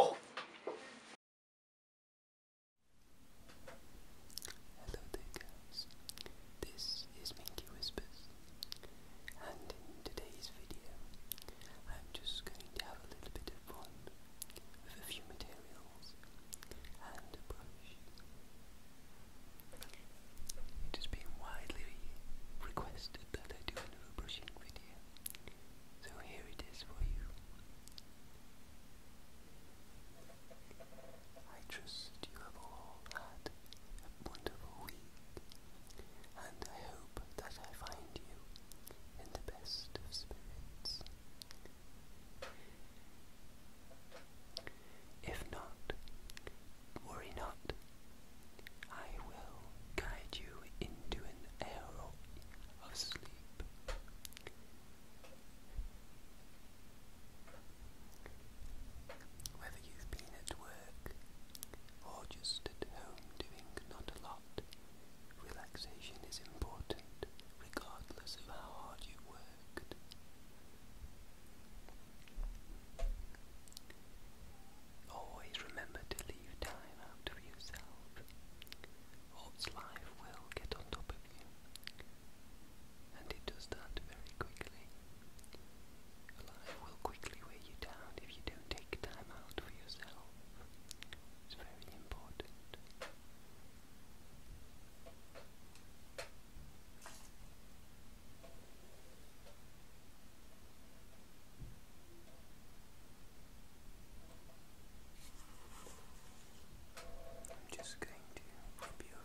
Oh. Hello there, guys. This is Minky Whispers, and in today's video, I'm just going to have a little bit of fun with a few materials and a brush. It has been widely requested that I do another brushing video, so here it is for you. I trust you have all had wonderful week, and I hope that I find you in the best of spirits. If not, worry not. I will guide you into an arrow of sleep. Whether you've been at work or just at home doing not a lot, relaxation is important regardless of how hard you've worked. Always remember to leave time out for yourself, or its life will get on top of you, and it does that very quickly. Life will quickly weigh you down if you don't take time out for yourself. It's very important. I'm just going to rub your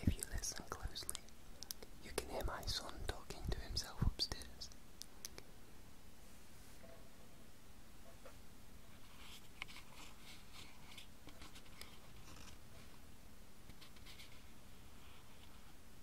If you listen closely, you can hear my son talking to himself upstairs.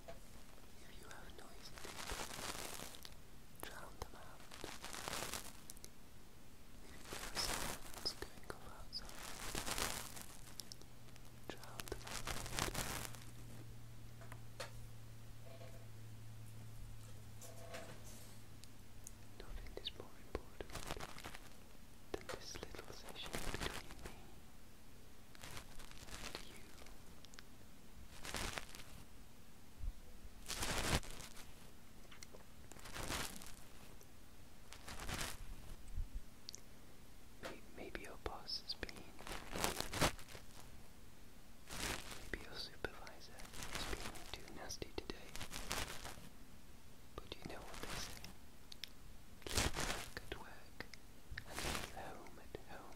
If you have noisy drown them out. If you hear sounds going off drown them out. Nothing is more important than this little session between me you. Maybe your boss is being Maybe your supervisor is being too nasty today. But you know what they say. Keep work and make it home at home.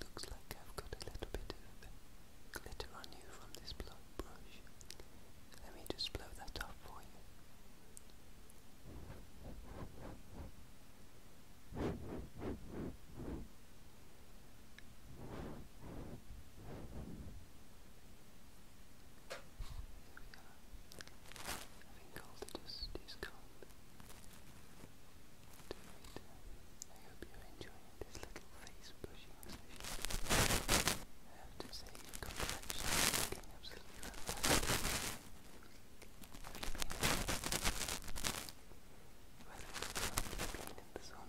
looks like I've got a little bit of glitter on you from this blood brush. Let me just blow that off for you. Having I hope you're enjoying this little face brushing I have to say your complexion is looking absolutely fantastic. Have you been Whether it's cold, in the sun.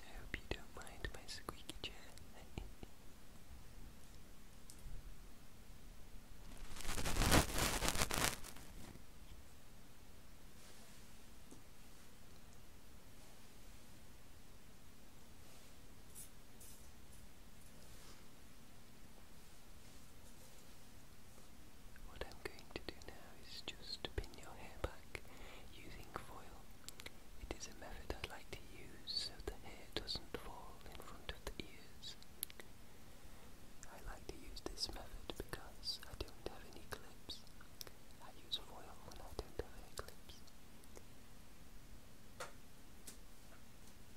I hope you don't mind my squeaky chair. What I'm going to do now is just pin your hair back using foil. It is a method I like to use so the hair doesn't fall in front of the ears. I like to use this method because I don't have any clips. I use foil when I don't have any clips.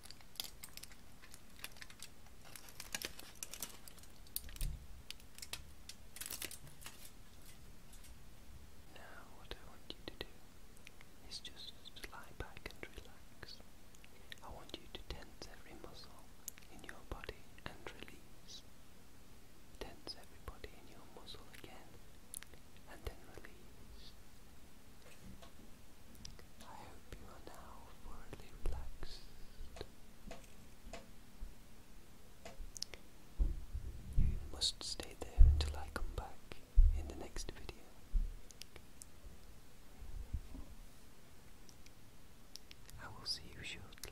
Now, what I want you to do is just lie back and relax. I want you to tense every muscle in your body and release. Tense every body in your muscle again and then release. I hope you are now thoroughly relaxed. You must stay there until I come back in the next video. I will see you shortly.